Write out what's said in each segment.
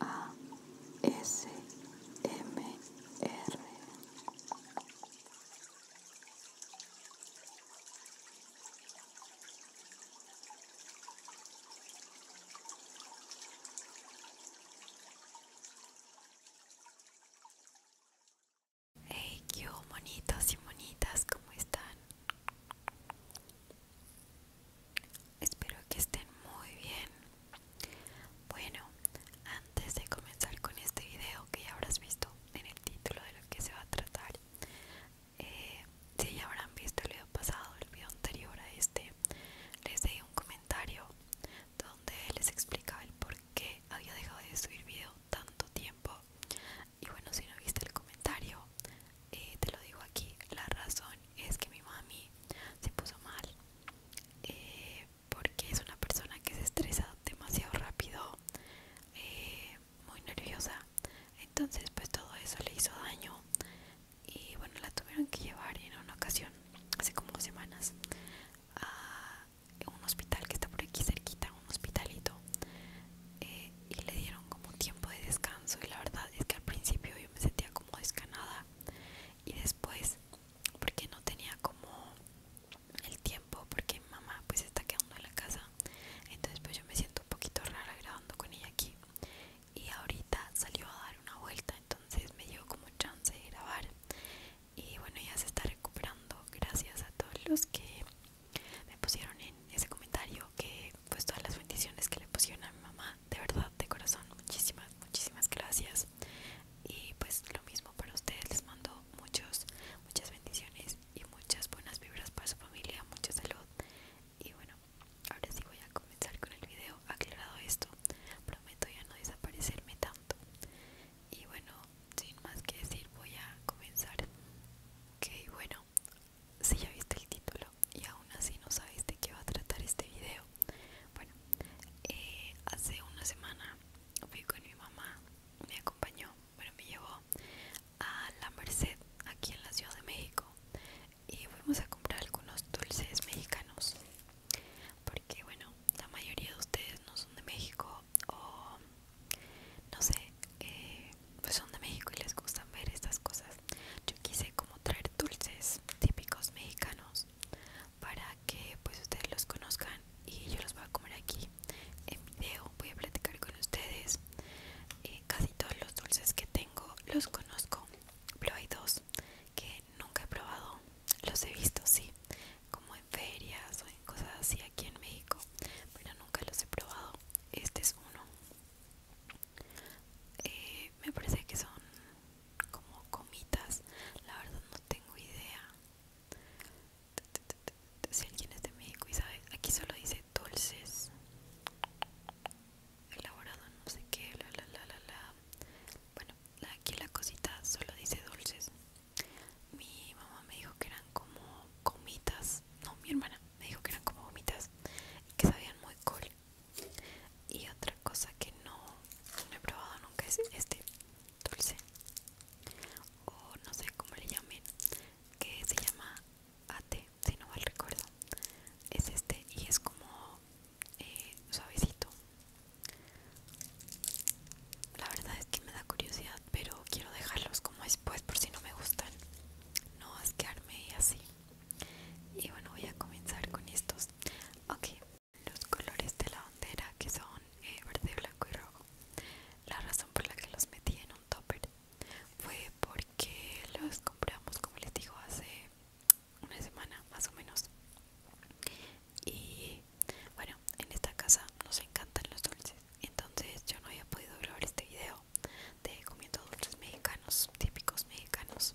A S M R Hey, qué monitos y monitas, ¿cómo están? Espero que estén muy bien. Bueno, antes de comenzar con este video que ya habrás visto en el título de lo que se va a tratar, eh, si ya habrán visto el video pasado, el video anterior a este, les di un comentario donde les explicaba el por qué había dejado de subir video tanto tiempo. Y bueno, si no viste el comentario, eh, te lo digo aquí, la razón es que mi mami se puso mal eh, porque es una persona que se estresa demasiado rápido, eh, muy nerviosa. Entonces pues todo eso le hizo daño y bueno, la tuvieron que llevar en una ocasión, hace como dos semanas, a un hospital que está por aquí cerquita, un hospitalito. Eh, y le dieron como tiempo de descanso y la verdad es que al principio yo me sentía como descanada y después porque no tenía como el tiempo porque mamá pues está quedando en la casa entonces pues yo me siento un poquito rara grabando con ella aquí y ahorita salió a dar una vuelta entonces me dio como chance de grabar y bueno ya se está recuperando gracias a todos los que me pusieron en ese comentario que pues todas las bendiciones que le pusieron a mi mamá de verdad, de corazón, muchísimas, muchísimas gracias. Y pues lo mismo para ustedes, les mando muchos, muchas bendiciones y muchas buenas vibras para su familia, mucha salud. Y bueno, ahora sí voy a comenzar con el video aclarado esto. Prometo ya no desaparecerme tanto. Y bueno, sin más que decir, voy a comenzar. Ok, bueno, si ya viste el título, y aún así no sabes de qué va a tratar este video. Bueno, eh, hace una semana fui con mi mamá, me acompañó, bueno, me llevó a la Merced, aquí en la Ciudad de México, y fuimos a comprar algunos dulces mexicanos, porque bueno, la mayoría de ustedes no son de México o no sé, eh, pues son de México y les gustan ver estas cosas yo quise como traer dulces típicos mexicanos para que pues ustedes los conozcan y yo los voy a comer aquí en video. Voy a platicar con ustedes. Eh, casi todos los dulces que tengo los conozco, pero hay dos que nunca he probado. Los he visto, sí, como en ferias o en cosas así aquí en México, pero nunca los he probado. Este es uno eh, me parece que son como comitas la verdad no tengo idea si alguien es de México y sabe aquí solo dice dulces elaborado no sé qué bueno aquí la cosita solo dice dulces mi mamá me dijo que eran como comitas no mi hermana me dijo que eran como gomitas y que sabían muy cool y otra cosa que no, he probado nunca es este dulce o no sé cómo le llamen que se llama ate si no mal recuerdo es este y es como eh, suavecito la verdad es que me da curiosidad pero quiero dejarlos como después por si no me gustan no asquearme y así y bueno voy a comenzar con estos ok los colores de la bandera que son eh, verde blanco y rojo la razón por la que los metí en un topper fue porque los compramos como les digo hace una semana más o menos y bueno en esta casa nos encantan los dulces entonces yo no había podido grabar este video de comiendo dulces mexicanos típicos mexicanos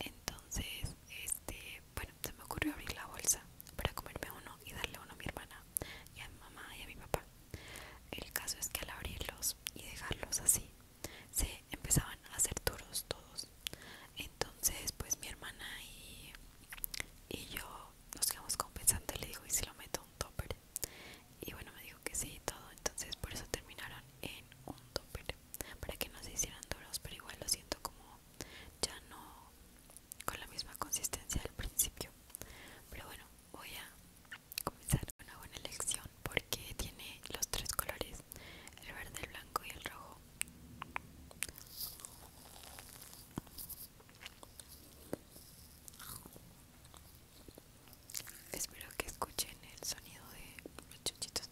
entonces entonces este bueno se me ocurrió abrir la bolsa para comerme uno y darle uno a mi hermana y a mi mamá y a mi papá el caso es que al abrirlos y dejarlos así se empezaban a hacer duros todos entonces pues mi hermana y, yo nos quedamos compensando le digo y si lo meto un topper y bueno me dijo que sí y todo entonces por eso terminaron en un topper para que no se hicieran duros pero igual lo siento como ya no con la misma consistencia del principio pero bueno voy a comenzar con una buena lección porque tiene los tres colores el verde el blanco y el rojo Espero que escuchen el sonido de los chuchitos.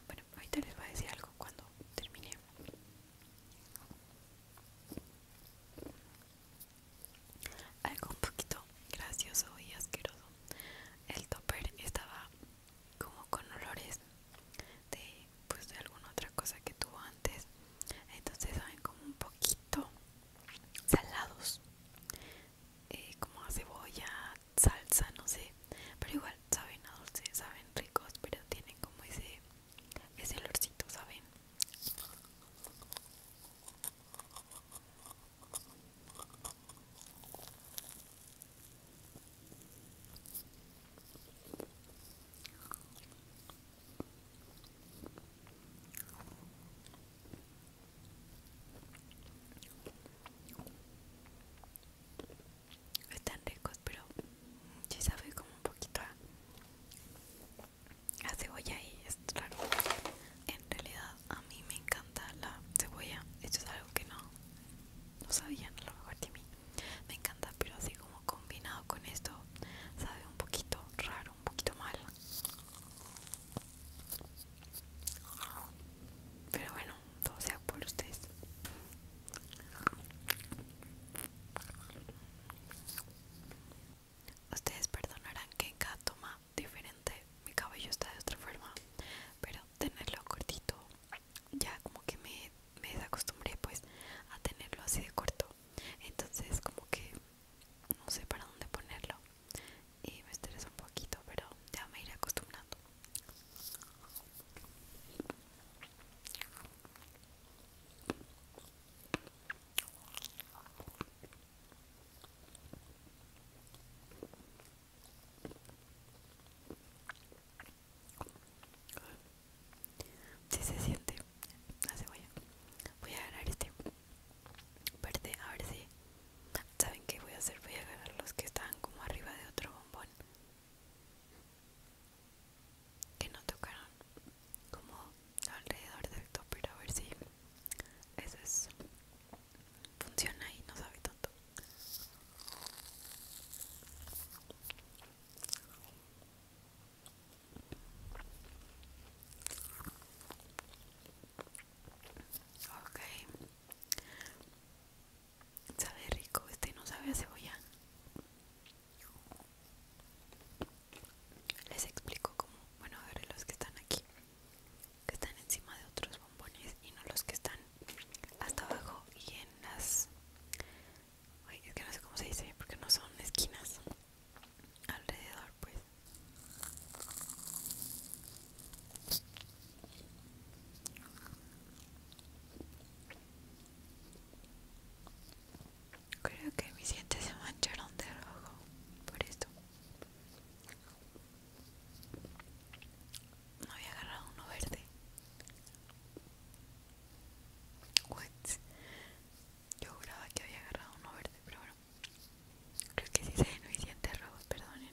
Ah, bueno, ahorita les voy a decir algo cuando termine. Algo un poquito gracioso y asqueroso. El topper estaba como con olores de pues de alguna otra cosa que tuvo antes. Entonces saben como un poquito salados. Eh, como a cebolla, salsa, no sé. Pero igual saben a dulce, saben ricos, pero tienen como ese, ese olorcito, ¿saben? Están ricos, pero sí sabe como un poquito a, cebolla y es raro. En realidad a mí me encanta la cebolla. Esto es algo que no, no sabían a lo mejor a ti Me encanta, pero así como combinado con esto sabe un poquito raro, un poquito mal. Pero bueno, sea por ustedes. Ustedes perdonarán que en cada toma diferente mi cabello está de otra forma, pero tenerlo cortito ya como que me, me desacostumbré pues a tenerlo así de corto. Entonces como que no sé para dónde ponerlo y me estresa un poquito, pero ya me iré acostumbrando. Si se siente la cebolla, voy a agarrar este parte A ver si saben que voy a hacer. Voy a agarrar los que están como arriba de otro que no tocaron como alrededor del pero a ver si eso es, funciona y no sabe tanto ok Sabe rico, este no sabe a cebolla. Les explico como bueno, a ver los que están aquí, que están encima de otros bombones y no los que están hasta abajo y en las... es que no sé cómo se dice, porque no son esquinas alrededor, pues. Creo que mis dientes se mancharon de rojo por esto. No había agarrado uno verde. What? Yo juraba que había agarrado uno verde, pero bueno. Creo que sí se ven mis dientes rojos, perdonen.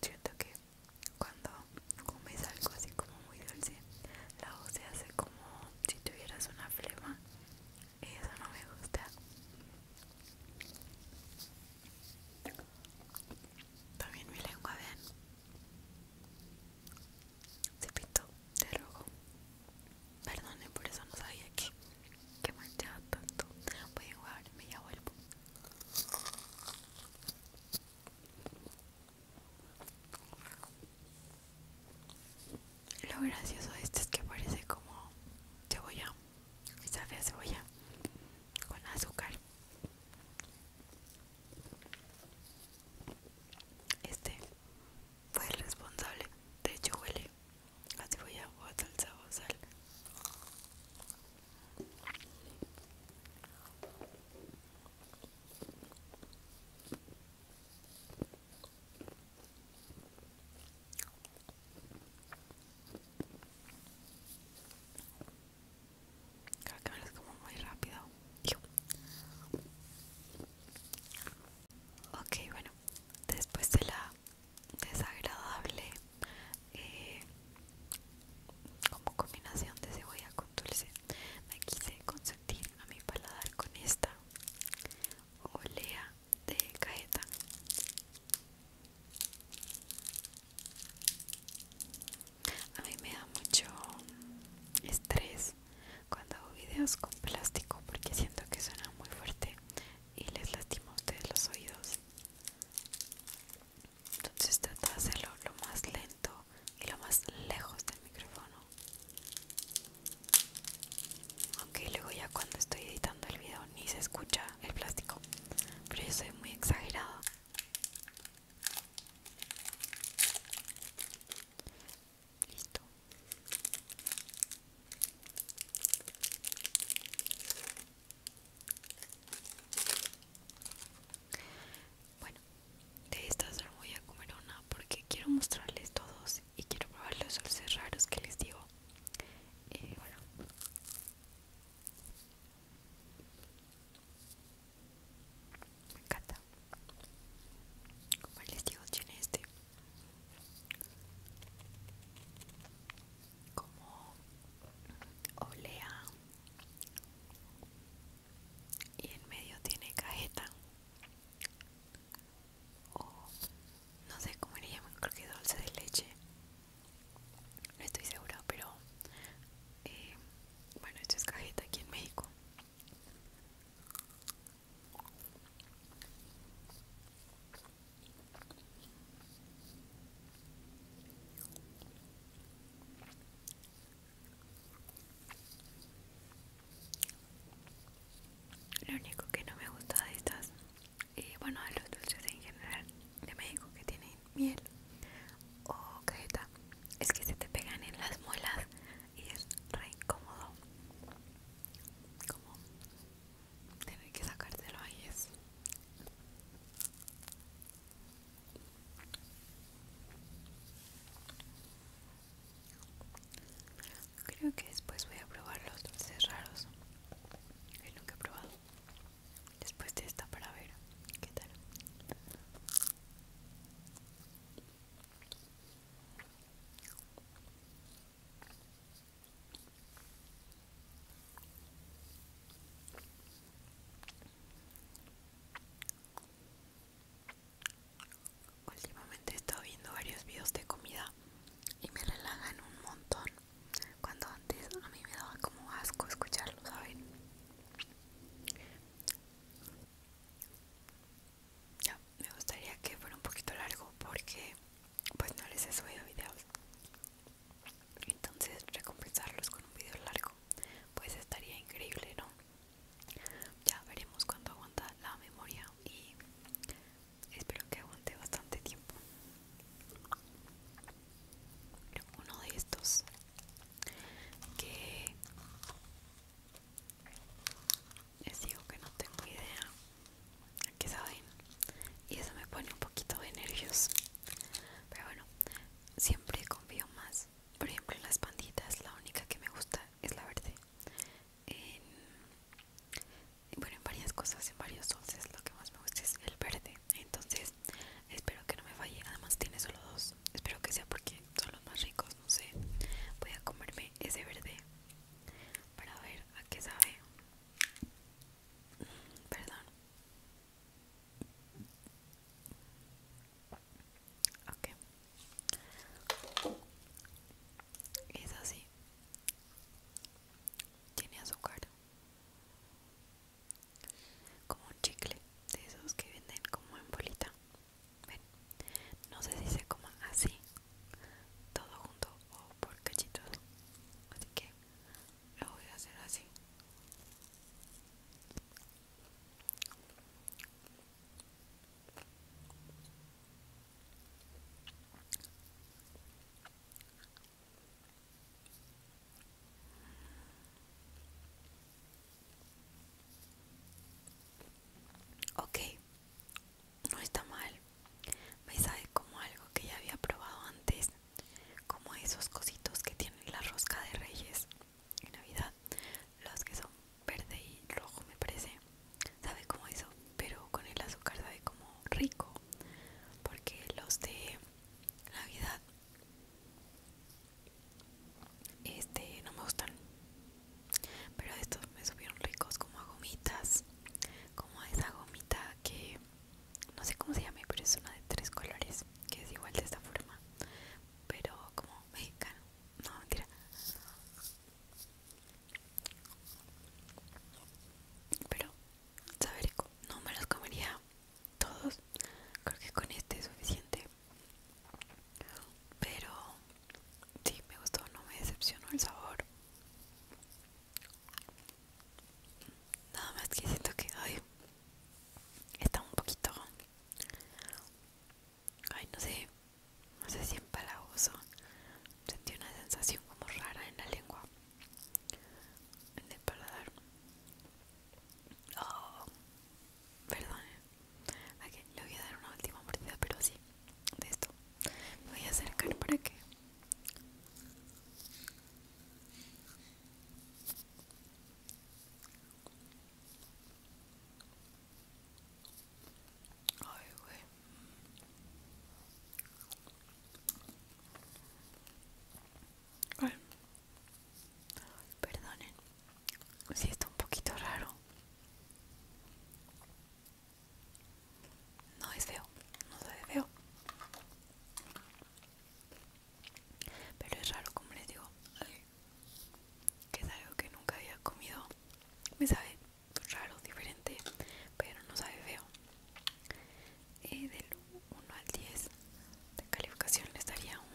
Siento que cuando comes algo así como muy dulce, la voz se hace como si tuvieras una flema eso no me gusta también mi lengua ven se pintó de rojo Perdone por eso no sabía que que manchaba tanto voy a jugar y ya vuelvo lo gracioso de este es que parece como cebolla, sabe a cebolla con azúcar. Este fue el responsable, de hecho huele a cebolla o a salsa o sal. Creo que me como muy rápido. Ok, bueno, después de la desagradable eh, como combinación de cebolla con dulce, me quise consentir a mi paladar con esta olea de cajeta a mí me da mucho estrés cuando hago videos con plástico porque siento que suena muy fuerte y les lastima a ustedes los oídos entonces trato de hacerlo lo más lento y lo más lejos del micrófono aunque luego ya cuando estoy editando el video ni se escucha el plástico, pero yo soy muy exagerada. Listo. Bueno, de estas no voy a comer una porque quiero mostrarles todos y quiero probar los dulces raros que les digo y eh, bueno me encanta como les digo tiene este como olea y en medio tiene cajeta o no sé cómo le llaman, creo que dulce de leche. No estoy segura, pero eh, bueno, esto es cajita aquí en México. Lo único que no me gusta de estas, y eh, bueno, de los dulces en general de México que tienen miel o cajeta, es que se te pegan en las muelas y es re incómodo. Como tener que sacárselo ahí es. Creo que después voy a probar los dulces raros que nunca he probado. Después de esta para ver qué tal. Últimamente he estado viendo varios videos de comida y me relajan un montón. Cuando antes a mí me daba como asco escucharlo, ¿saben? Ya, me gustaría que fuera un poquito largo porque pues no les he subido videos. Entonces recompensarlos con un video largo pues estaría increíble, ¿no? Ya veremos cuánto aguanta la memoria y espero que aguante bastante tiempo uno de estos que les digo que no tengo idea que saben y eso me pone un poquito de nervios pero bueno siempre confío más por ejemplo en las panditas la única que me gusta es la verde en bueno en varias cosas en varios dulces lo que más me gusta es el verde entonces espero que no me falle además tiene solo dos espero que sea porque son los más ricos no sé voy a comerme ese verde para ver a qué sabe mm, perdón ok es así tiene azúcar. Como un chicle de esos que venden como en bolita. no sé si se coma así, todo junto o por cachitos. Así que lo voy a hacer así. Ok, no está mal. Me sabe como algo que ya había probado antes, como esos cositos que tienen la rosca de reyes en Navidad, los que son verde y rojo me parece sabe como eso pero con el azúcar sabe como rico porque los de navidad este no me gustan pero estos me subieron ricos como a gomitas como esa gomita que no sé cómo se llama, pero es una de tres colores que es igual de esta forma pero como mexicano no mentira pero, saber, no me los comería todos. Creo que con este es suficiente. Pero, sí, me gustó, no me decepcionó el sabor. Nada más que siento que, ay, está un poquito. Ay, no sé, no sé si en empalagoso, sentí una sensación como rara en la lengua, en el paladar. Oh, perdón, eh. le voy a dar una última mordida, pero sí, de esto. Me voy a acercar para que. Perdonen. Si está un poquito raro. No es feo. No sabe feo. Pero es raro, como les digo. Que es algo que nunca había comido. Me sabe raro, diferente, pero no sabe feo. Eh, del 1 al 10 de calificación le daría un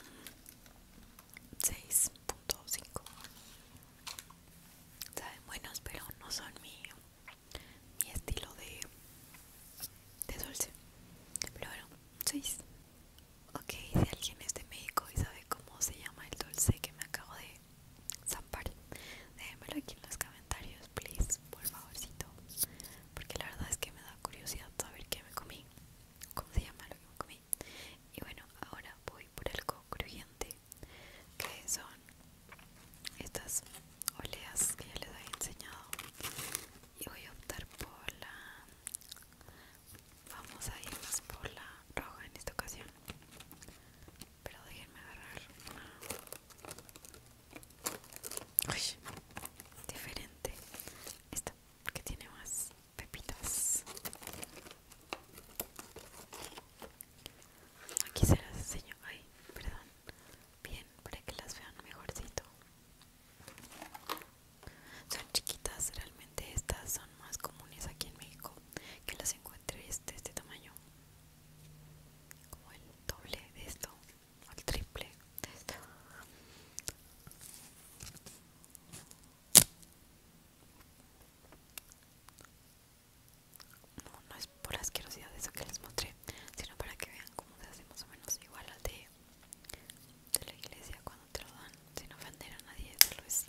6.5. Saben buenos, pero no son mi, mi estilo de, de dulce. Pero bueno, 6. Ok, si alguien es de médico y sabe cómo se llama el dulce que me acabo de Zampar. Déjenmelo aquí en los comentarios, please, por favorcito. Porque la verdad es que me da curiosidad saber qué me comí. ¿Cómo se llama lo que me comí? Y bueno, ahora voy por algo crujiente. Que son estas oleas que ya les había enseñado. Y voy a optar por la... Vamos a irnos por la roja en esta ocasión. Pero déjenme agarrar una diferente. Esta que tiene más pepitas. Aquí se las enseño. Ay, perdón. Bien, para que las vean mejorcito. Son chiquitas, realmente estas son más comunes aquí en México que las encuentres de este, este tamaño como el doble de esto o el triple de esto no, no es por asquerosidad de eso que les mostré sino para que vean cómo se hace más o menos igual al de, de la iglesia cuando te lo dan sin ofender a nadie solo es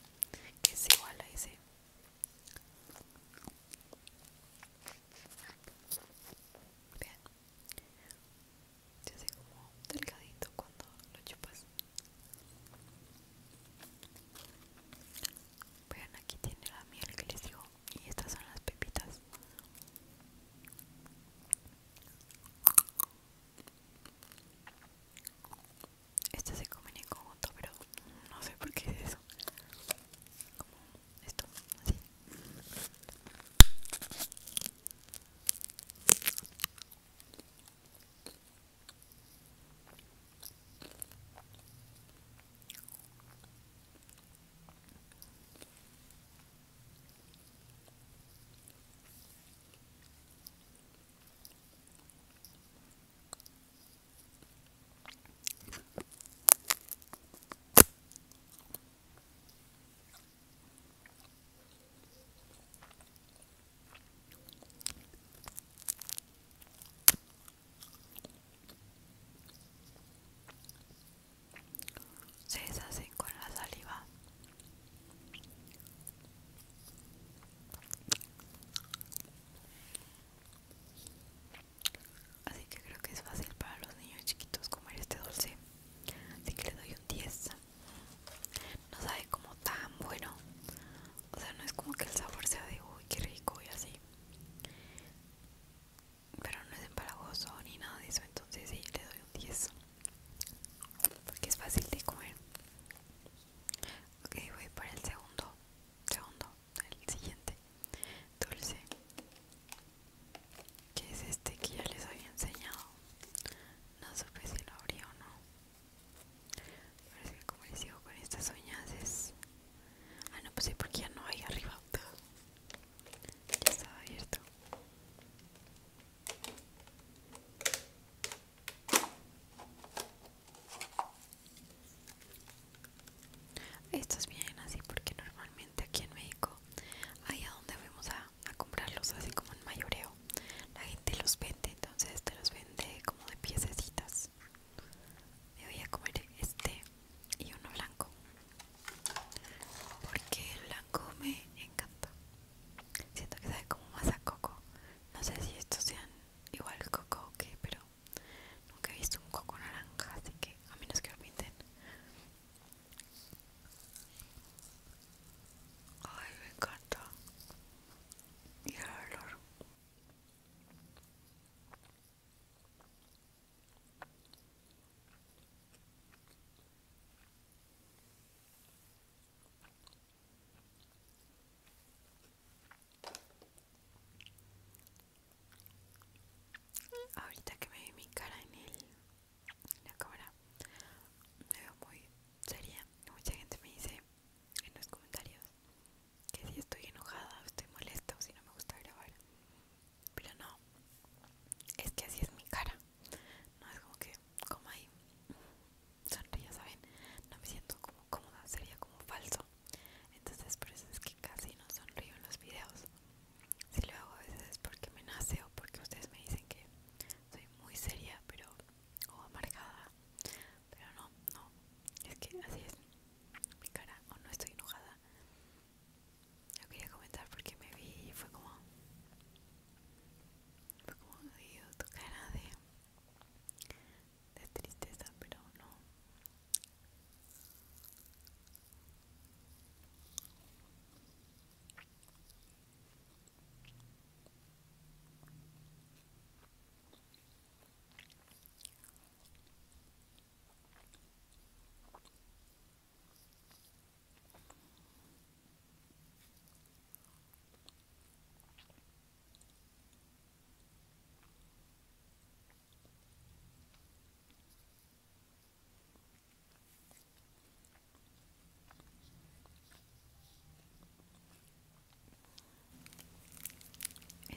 que es igual a ese Vean, se hace como delgadito cuando lo chupas. Vean, aquí tiene la miel que les digo y estas son las pepitas. Estas se comen en conjunto, pero no sé por qué como esto así se deshacen con la saliva. Así que creo que es fácil para los niños chiquitos comer este dulce. Así que le doy un 10. No sabe como tan bueno. O sea, no es como que el sabor sea de uy, qué rico y así. Pero no es empalagoso ni nada de eso. Entonces sí, le doy un 10. Porque es fácil de comer. Ok, voy para el segundo. Segundo. El siguiente dulce que es este que ya les había enseñado no supe si lo abría o no parece que como les digo con estas uñas es ah no pues sí porque ya no hay arriba ya estaba abierto estos vienen así porque normalmente aquí en México, ahí a donde vamos a, comprarlos, así como en mayoreo, la gente los vende, entonces te los vende como de piececitas. Me voy a comer este y uno blanco, porque el blanco me encanta. Siento que sabe como más a coco. No sé si estos sean igual coco o qué, pero Nunca he visto un coco naranja, así que a menos que lo pinten. Ay, me encanta. Y el olor. Ahorita que me ve mi cara en, el, la cámara, me veo muy seria. Mucha gente me dice en los comentarios que si estoy enojada o estoy molesta o si no me gusta grabar. Pero no, es que así es mi cara. No es como que, como hay ya ¿saben? No me siento como cómoda, sería como falso entonces por eso es que casi no sonrío en los videos si lo hago a veces es porque me nace o porque ustedes me dicen que soy muy seria pero o amargada pero no no es que así es mi cara o no estoy enojada lo quería comentar porque me vi y fue como fue como digo tu cara de de tristeza, pero no.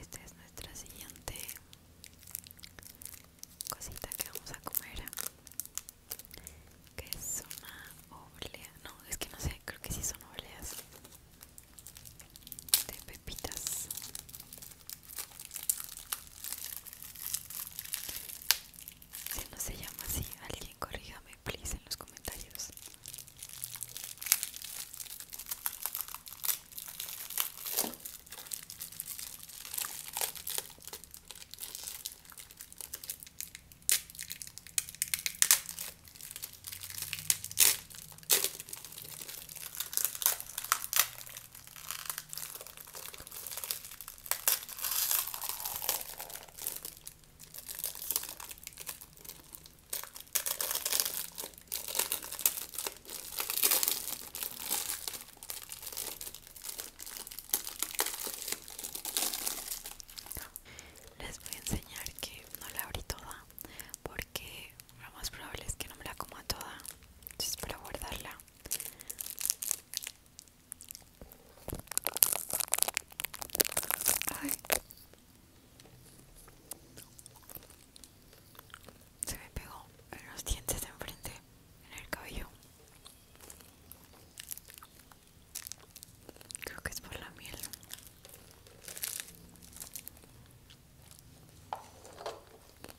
Esta es nuestra siguiente cosita que vamos a comer, que es una oblea, no, es que no sé, creo que sí son obleas de pepitas si no se llama así, alguien corríjame, please, en los comentarios. Les voy a enseñar que no la abrí toda porque lo más probable es que no me la coma toda entonces para guardarla se me pegó en los dientes de enfrente en el cabello creo que es por la miel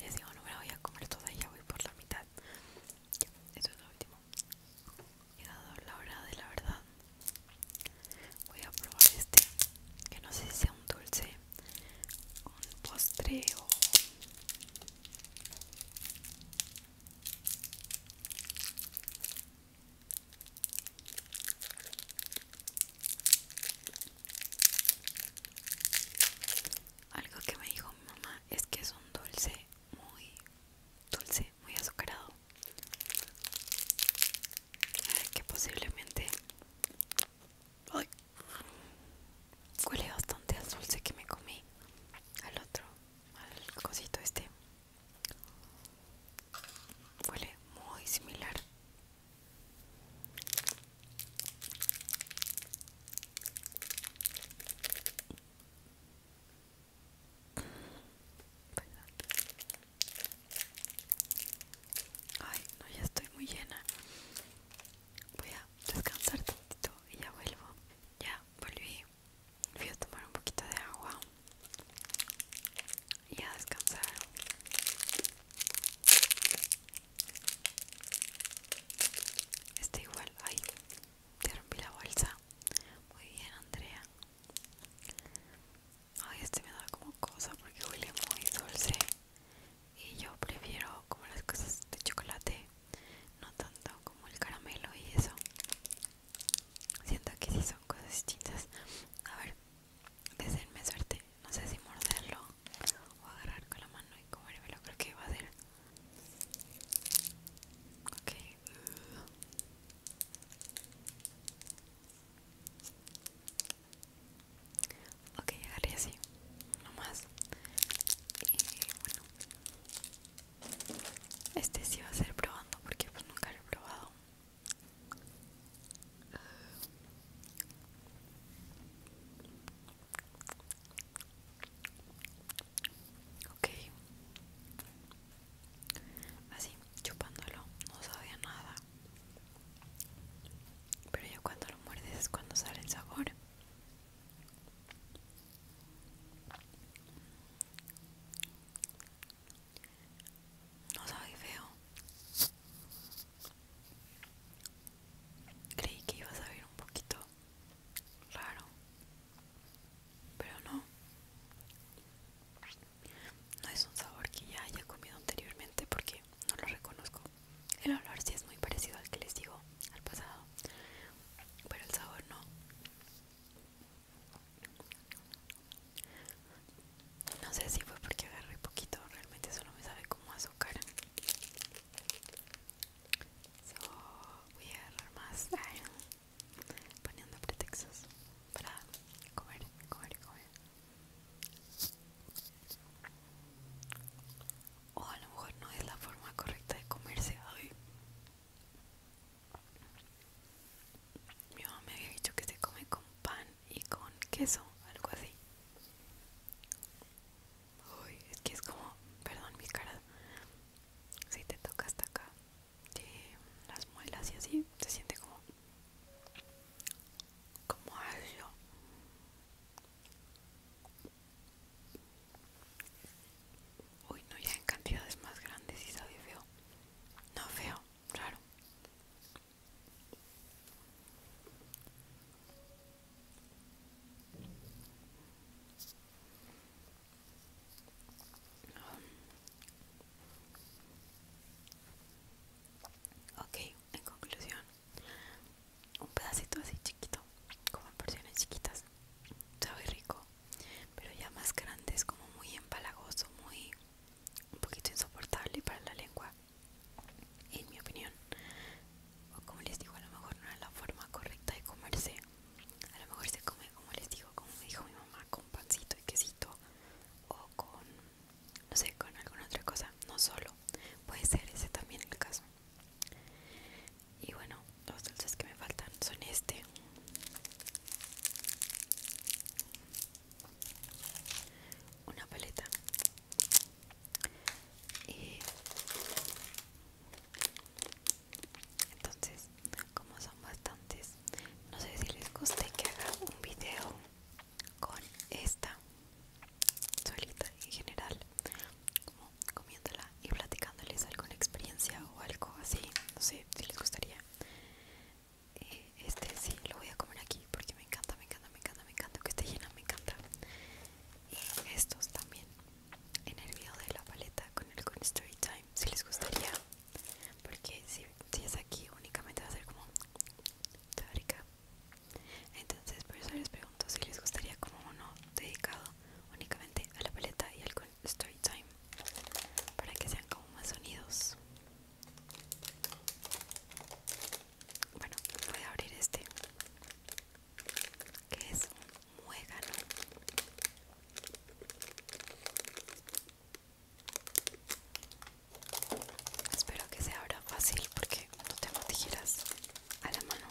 Les digo, no me la voy a comer toda, ya voy por la mitad. Eso esto es lo último. Llegado la hora de la verdad. Voy a probar este, que no sé si sea un dulce un postreo algo que me dijo mi mamá es que es un dulce muy dulce, muy azucarado que posiblemente huele bastante al dulce que me comí. Al otro, al cosito este. Huele muy similar. Ay, no, ya estoy muy llena voy a descansar tantito y ya vuelvo. Ya volví, Voy a tomar un poquito de agua y a descansar. Está igual, ay, te la bolsa. Muy bien, Andrea. Ay, este me da como cosa porque huele muy dulce y yo prefiero como las cosas de chocolate no tanto como el caramelo y eso siento que sí son cosas distintas a ver deseenme suerte no sé si morderlo o agarrar con la mano y comerlo, creo que va a ser ok Ok, agarré así, nomás. Y bueno, este sí va a ser probando porque pues nunca lo he probado. Ok, así chupándolo, no sabía nada. Pero ya cuando lo muerdes es cuando sale el sabor. No sabe feo. Creí que iba a saber un poquito raro. Pero no. No es un sabor que ya haya comido anteriormente porque no lo reconozco. El olor sí es muy parecido al que les digo, al pasado, pero el sabor no. No sé si fue porque agarré poquito, realmente solo me sabe como azúcar. So, voy a agarrar más poniendo pretextos para comer, comer, comer o a lo mejor no es la forma correcta de comerse Ay Mi mamá me había dicho que se come con pan y con queso, algo así. Uy, es que es como, perdón mi cara, si te toca hasta acá, las muelas y así, se siente como, como algo. Uy, no, ya en cantidades más grandes y sabe feo. No feo, raro. Ok, en conclusión, un pedacito así chiquito, como en porciones chiquitas, sabe rico, pero ya más grande es como muy empalagoso, muy un poquito insoportable para la lengua, en mi opinión. O como les digo, a lo mejor no es la forma correcta de comerse. A lo mejor se come, como les digo, como dijo mi mamá, con pancito y quesito o con, no sé, con alguna otra cosa, no solo. Puede ser ese también el caso. Y bueno, los dulces que me faltan son este una paleta y entonces como son bastantes no sé si les guste que haga un video con esta solita en general como comiéndola y platicándoles alguna experiencia o algo así, no sé si les gustaría. Eh, este sí, lo voy a comer aquí porque me encanta, me encanta, me encanta, me encanta, que esté llena, me encanta. Y estos también en el video de la paleta con el con story time, si les gustaría, porque si, si es aquí únicamente va a ser como teórica. Entonces por eso les pregunto si les gustaría como uno dedicado únicamente a la paleta y al story time para que sean como más unidos. Bueno, voy a abrir este que es un muegano. Espero que se abra fácil porque no tengo tijeras a la mano.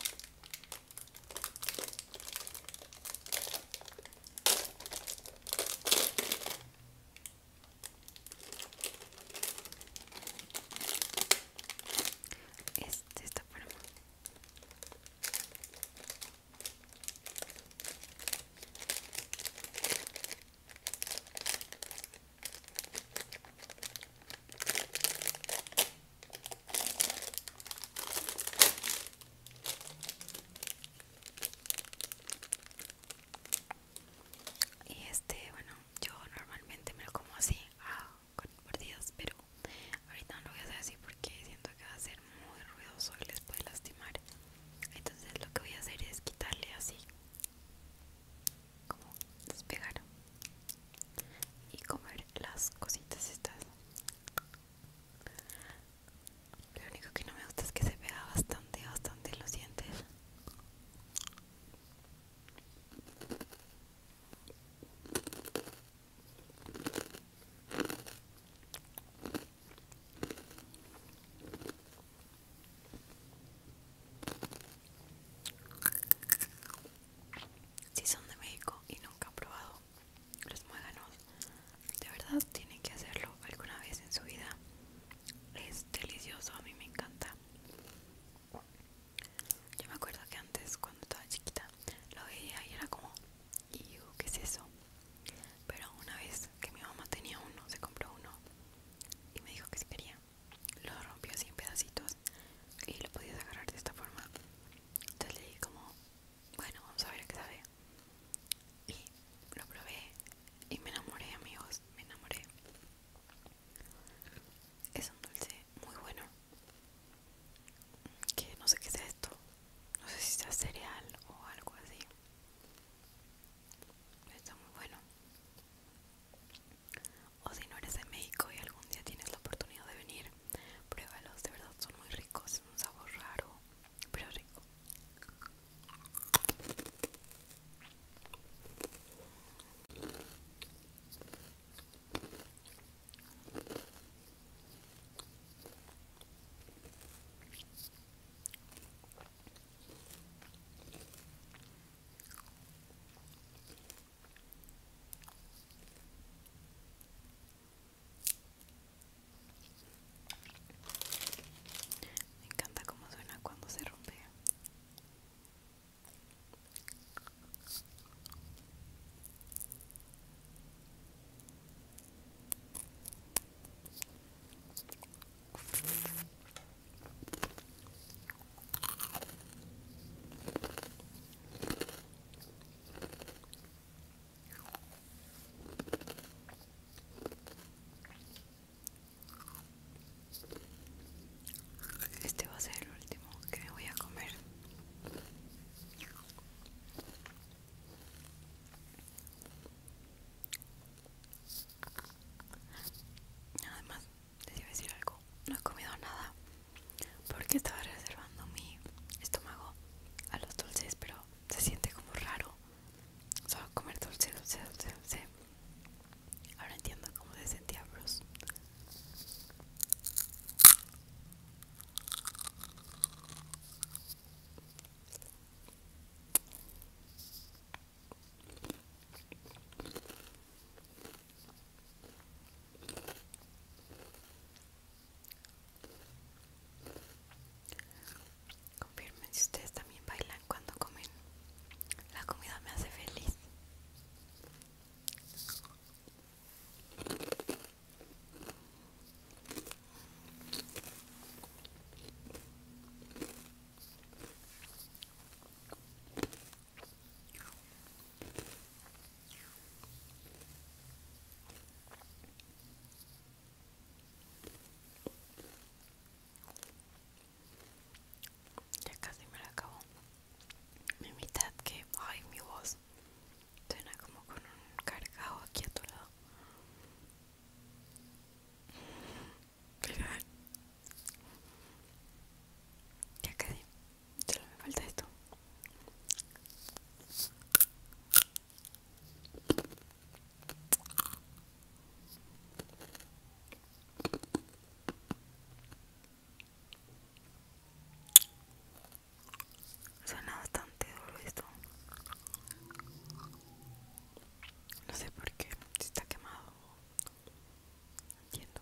Este está para mí. Y este, bueno, yo normalmente me lo como así, ah, con mordidas, pero ahorita no lo voy a hacer así porque siento que va a ser muy ruidoso y les puede lastimar. Entonces lo que voy a hacer es quitarle así, como despegar y comer las cositas estas. Lo único que no me gusta es que se pega bastante, bastante Lo los dientes si son de México y nunca han probado los muéganos, de verdad tienen que hacerlo alguna vez en su vida. Es delicioso, a mí me encanta. Yo me acuerdo que antes, cuando estaba chiquita, lo veía y era como, ¿y digo qué es eso? Pero una vez que mi mamá tenía uno, se compró uno y me dijo que si quería, lo rompió así en pedacitos y lo podías agarrar de esta forma entonces le como, bueno, vamos a ver qué sabe. Y lo probé y me enamoré, amigos, me enamoré. Es un dulce muy bueno. Que no sé qué es esto. No sé si sea cereal o algo así. está muy bueno. O si no eres de México y algún día tienes la oportunidad de venir, Pruébalos, de verdad son muy ricos, es un sabor raro, pero rico. Me encanta cómo suena cuando se rompe. Este va a ser el último que voy a comer. Además, te iba a decir algo. No he comido nada porque estaba reservando mi estómago a los dulces, pero se siente como raro solo comer dulce, dulce, dulce, dulce. Ahora entiendo cómo se sentía Bruce. Confirmen si ustedes también bailan cuando comen. La comida me hace feliz. Ya casi me la acabo. Mi mitad que, ay, mi voz suena como con un cargado aquí a tu lado. Ya casi me falta esto. Suena bastante duro esto. No sé por qué, si está quemado. entiendo.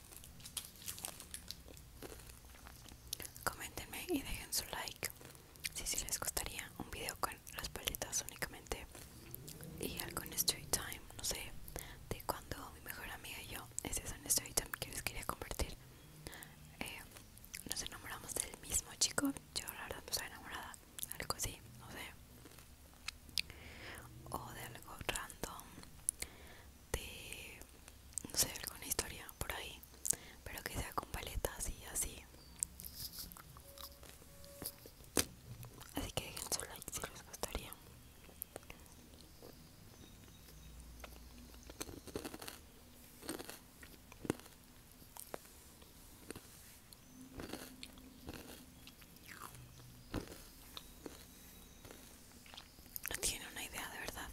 Coméntenme y dejen su like si si les gustaría un video con las palitas únicamente y algo en Street Time, no sé, de cuando mi mejor amiga y yo, ese es un Street Time que les quería compartir. Eh, nos enamoramos del mismo chico, yo la verdad no estoy enamorada, algo así, no sé o de algo random de no sé alguna historia por ahí pero que sea con paletas y así así que dejen su like si les gustaría no tiene una idea de verdad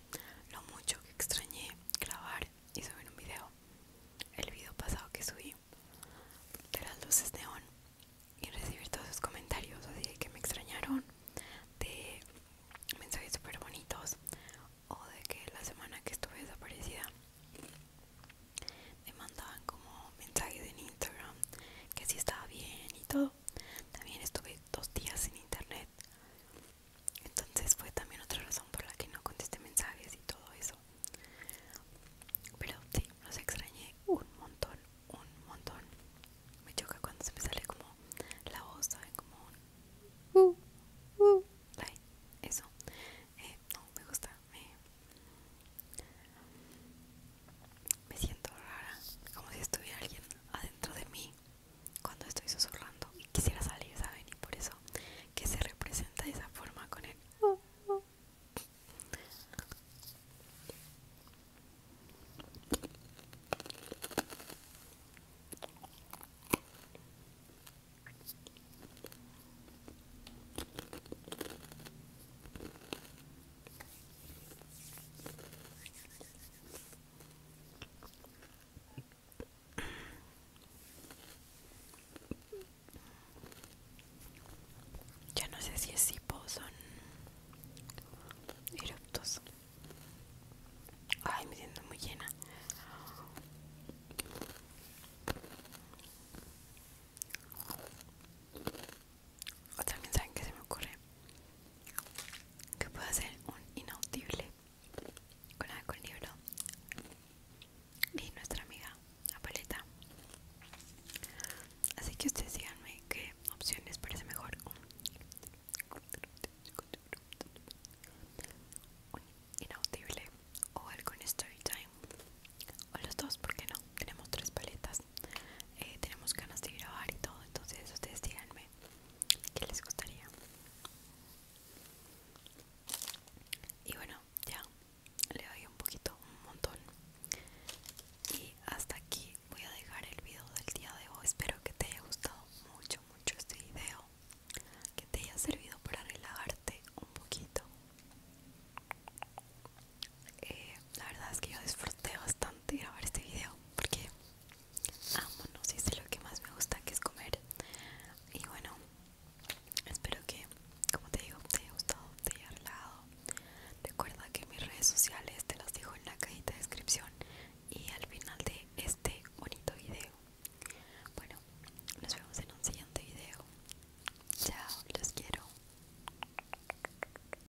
lo mucho que extrañé grabar y subir un video. El video pasado que subí de las luces de on y recibir todos sus comentarios, de que me extrañaron, de mensajes súper bonitos o de que la semana que estuve desaparecida me mandaban como mensajes en Instagram que si estaba bien y todo también estuve dos días sin internet. Entonces fue también otra razón por la que no contesté mensajes y todo eso. Pero sí, los extrañé un montón, un montón. Me choca cuando se me sale como la voz, ¿saben? Como un... Uh, uh". eso. Eh, no, me gusta. Me siento rara, como si estuviera alguien adentro de mí cuando estoy susurrando y quisiera salir, ¿saben? Y por eso que se representa de esa forma con él. Ya no sé si es tipo son eruptos. Ay, me siento muy llena. O también saben que se me ocurre que puedo hacer un inaudible con alcohol libro y nuestra amiga la paleta. Así que ustedes díganme qué opción les parece mejor. Un inaudible o algo en story time o los dos, porque no? Tenemos tres paletas. Eh, tenemos ganas de grabar y todo entonces ustedes díganme qué les gustaría y bueno ya le doy un poquito un montón y hasta aquí voy a dejar el video del día de hoy espero que te haya gustado mucho mucho este video que te haya servido para relajarte un poquito eh, la verdad es que yo disfruté bastante grabar este video porque amo, no sé, es lo que más me gusta que es comer y bueno espero que como te digo te haya gustado te haya hablado. recuerda que mis redes sociales te las dejo en la cajita de descripción y al final de este bonito video bueno nos vemos en un siguiente video chao los quiero